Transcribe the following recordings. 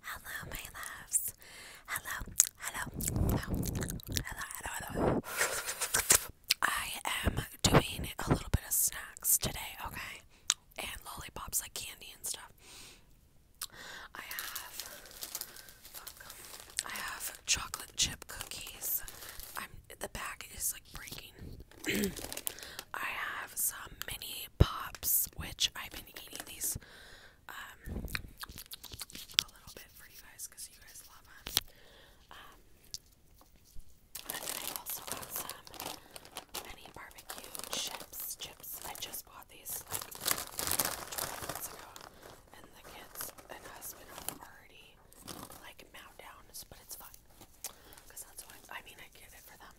Hello, my loves. Hello, hello, hello, hello, hello, hello. I am doing a little bit of snacks today, okay? And lollipops, like candy and stuff. I have, I have chocolate chip cookies. the bag is like breaking. I have some mini Pops, which I've been eating these um, a little bit for you guys because you guys love them. Um, and then I also got some mini barbecue chips. Chips. I just bought these like 20 minutes ago, and the kids and husband are already like mount but it's fine because that's why I mean I get it for them.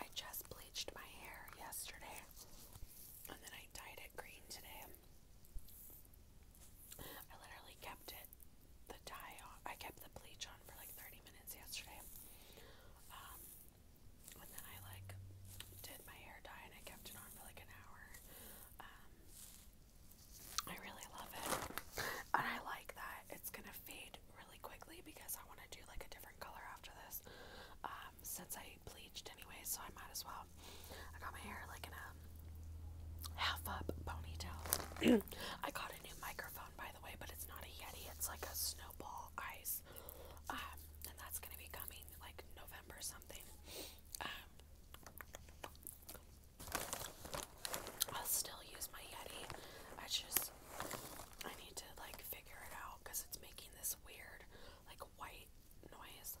I just bleached my hair yesterday and then I dyed it green today. I literally kept it, the dye on, I kept the bleach on for like 30 minutes yesterday. Um, and then I like did my hair dye and I kept it on for like an hour. Um, I really love it and I like that it's gonna fade really quickly because I want to do like a different color after this. Um, since I bleached anyway, so I might as well. I got my hair like in a half up ponytail. I got a new microphone by the way, but it's not a Yeti, it's like a snowball ice. Um, and that's gonna be coming like November something. Um, I'll still use my Yeti. I just I need to like figure it out because it's making this weird like white noise.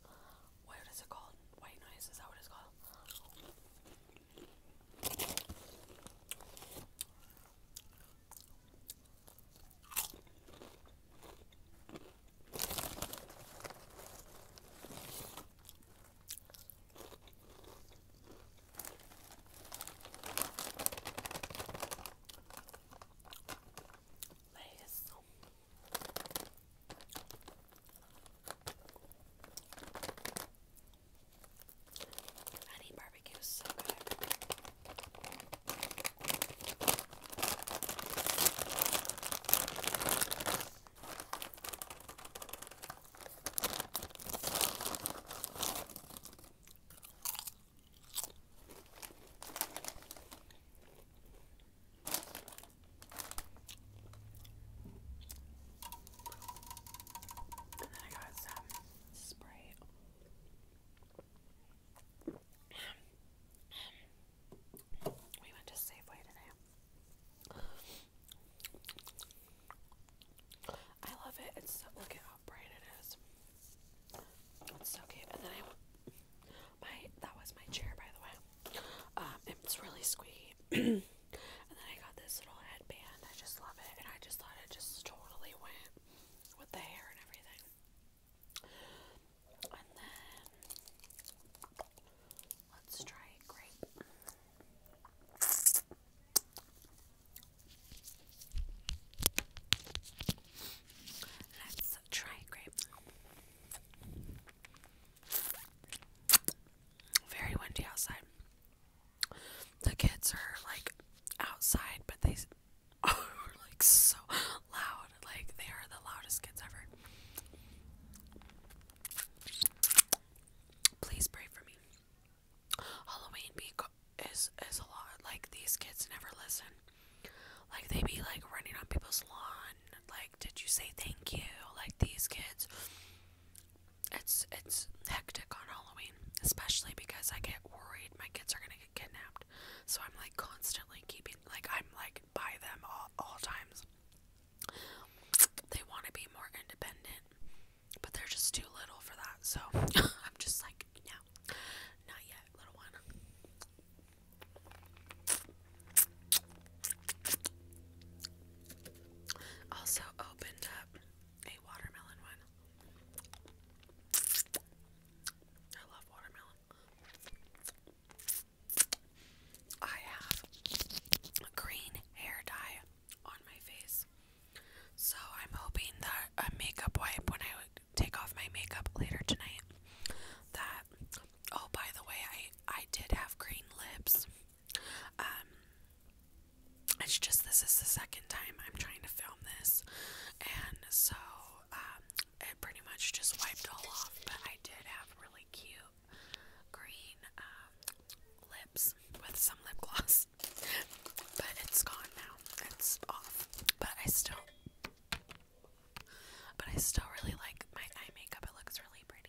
What is it called? White noise, is that what it's called? Lays. Honey barbecue is so good. And then I got some spray. we went to Safeway today. I love it. It's so, look at how bright it is. It's so cute. And then I, my that was my chair by the way. Um, it's really squeaky. and then I got this little headband. I just love it, and I just thought it just totally went with the hair and everything. And then Let's try a grape. Let's try grape. Very windy outside. The kids are like outside, but they are like so loud. Like they are the loudest kids ever please pray for me. Halloween is is a lot. Like these kids never listen. Like they be like running on people's lawn. Like did you say thank you? Like these kids. It's it's hectic on Halloween, especially because I get worried my kids are gonna get kidnapped. So I'm like constantly keeping like I'm like by them all all times they want to be more independent, but they're just too little for that. So I'm just like, no, not yet, little one. Also opened up a watermelon one. I love watermelon. I have a green hair dye on my face. So I'm hoping that a makeup wipe when I would take off my makeup later tonight that oh by the way I I did have green lips. Um it's just this is the second time I'm trying to film this and so um it pretty much just wiped all off but I did have really cute green um, lips with some lip gloss, but it's gone now. It's off, but I still, but I still really like my eye makeup. It looks really pretty.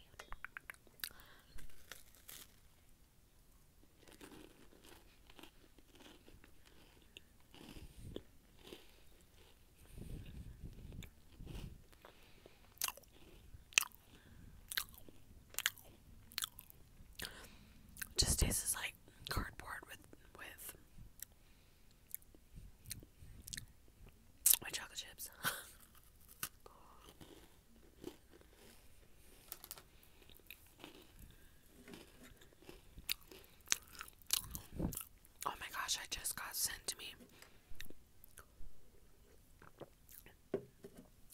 Just tastes like cardboard with with my chocolate chips. oh my gosh, I just got sent to me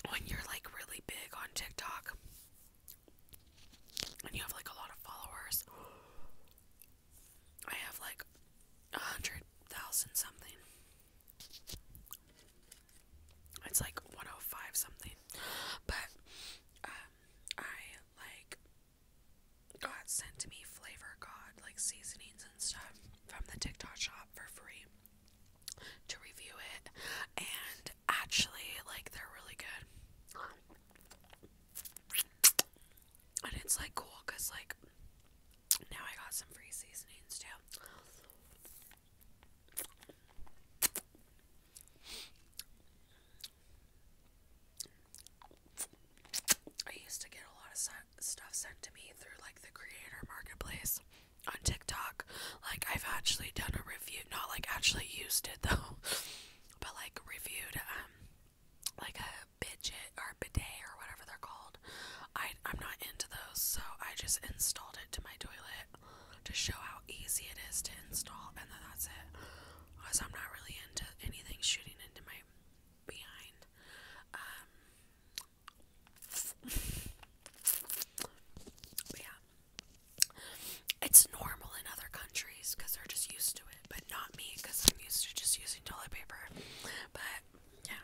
when you're like really big on TikTok and you have like a lot of followers, I have like a hundred thousand something. It's like 105 something, but um, I like God sent to me Flavor God, like seasonings and stuff from the TikTok shop for free to review it. And actually, like, they're really good. And it's like cool because, like, now I got some free seasonings too. I used to get a lot of stuff sent to me through like the creator marketplace on TikTok. Like I've actually done a review, not like actually used it though, but like reviewed um like a bidget or bidet or whatever they're called. I I'm not into those, so I just installed it to my toilet to show how easy it is to install, and then that's it. Cause I'm not really into anything shooting into my behind. but um, yeah, it's normal in other countries because they're just used to it, but not me because I'm used to just using toilet paper. But yeah.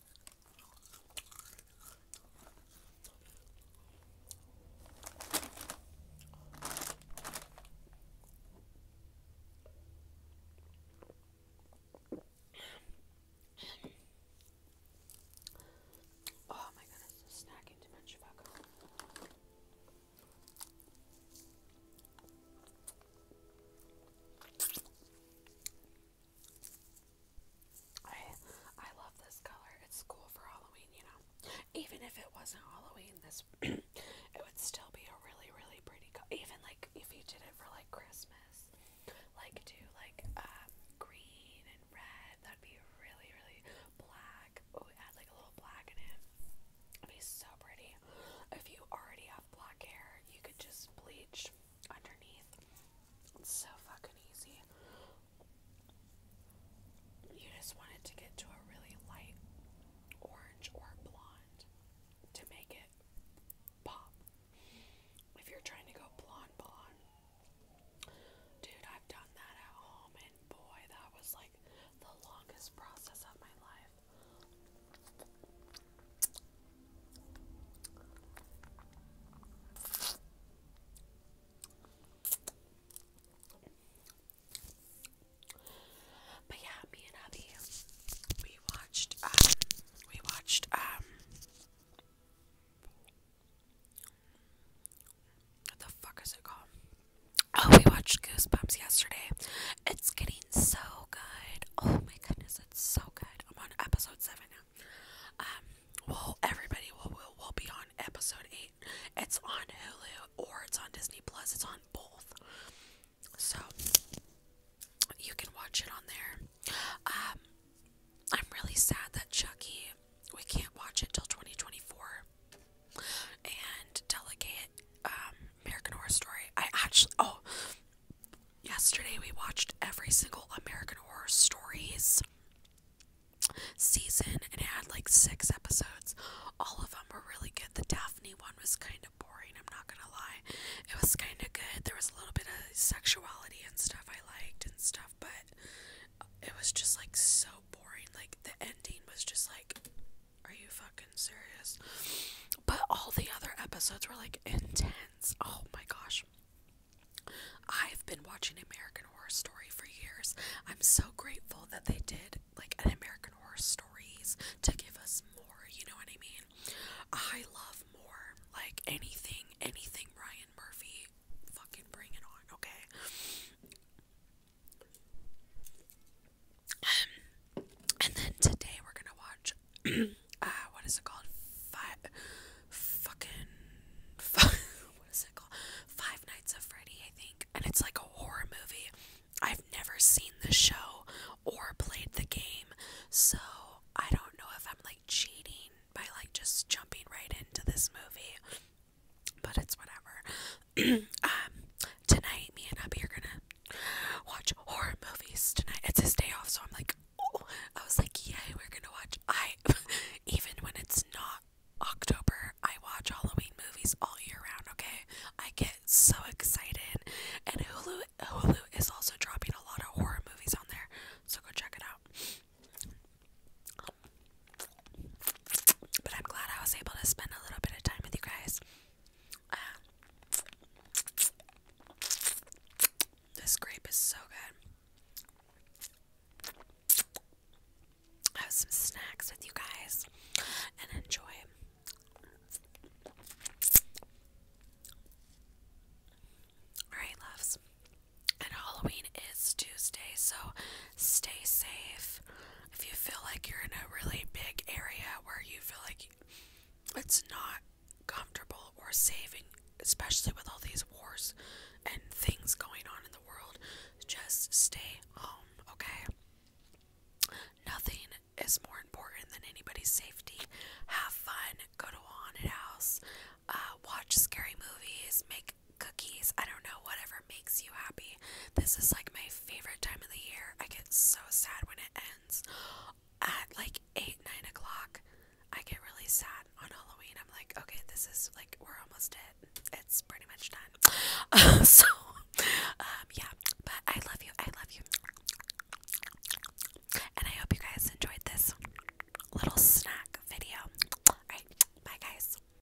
Oh my goodness, the snacking too much fuck. I I love this color. It's cool for Halloween, you know. Even if it wasn't Halloween, this it would still be a really really pretty color. Even like if you did it for like Christmas, like do like um green and red, that'd be really really black. Oh, add like a little black in it. It'd be so pretty. If you already have black hair, you could just bleach underneath. It's so fucking easy. You just want to get to a really light orange or blonde to make it pop. If you're trying to go blonde, blonde, dude, I've done that at home, and boy, that was like the longest process of my life. But yeah, me and hubby, we watched, uh, we watched, um, what the fuck is it called? Oh, we watched Goosebumps yesterday. It's getting so good. Oh my goodness it's so good. I'm on episode seven now. Um, well, everybody will, will, will be on episode eight. It's on Hulu or it's on Disney Plus. It's on both, so you can watch it on there. Um, I'm really sad that Chucky we can't watch it till 2024. And Delegate, um, American Horror Story. I actually, oh, yesterday we watched every single American Horror Stories season and it had like six episodes. All of them were really good. The Daphne one was kind of boring, I'm not gonna lie. It was kind of good. There was a little bit of sexuality and stuff I liked and stuff, but it was just like so boring. Like the ending was just like are you fucking serious? But all the other episodes were like intense. Oh my gosh. I've been watching American Horror Story for years. I'm so grateful that they did like an American Horror Stories to give us more, you know what I mean? I love more. Like anything, anything Ryan Murphy, fucking bring it on, okay? Um, and then today we're gonna watch, uh, what is it called? Five, fucking, fuck, what is it called? Five Nights at Freddy, I think. And it's like a horror movie. I've never seen the show or played the game, so I don't know if I'm like cheating by like just jumping right into this movie, but it's whatever. Um, tonight, me and Abby are gonna watch horror movies tonight. It's his day off, so I'm like, oh. I was like, yay, we're gonna watch. I, even when it's not October, I watch Halloween movies all year round. Okay, I get so excited, and Hulu, Hulu is also dropping a lot of horror movies on there, so go check it out. But I'm glad I was able to spend a little bit of time with you guys. this grape is so good. Have some snacks with you guys and enjoy. Alright, loves. And Halloween is Tuesday, so stay safe. If you feel like you're in a really big area where you feel like it's not comfortable or safe, especially with all these wars and things going on in the world, just stay home, okay? Nothing is more important than anybody's safety. Have fun, go to a haunted house, uh, watch scary movies, make cookies. I don't know, whatever makes you happy. This is like my favorite time of the year. I get so sad when it ends. At like 8, 9 o'clock, I get really sad on Halloween. I'm like, okay, this is like, we're almost it. It's pretty much done. Um, so, um, yeah, but I love you. I love you. And I hope you guys enjoyed this little snack video. bye guys.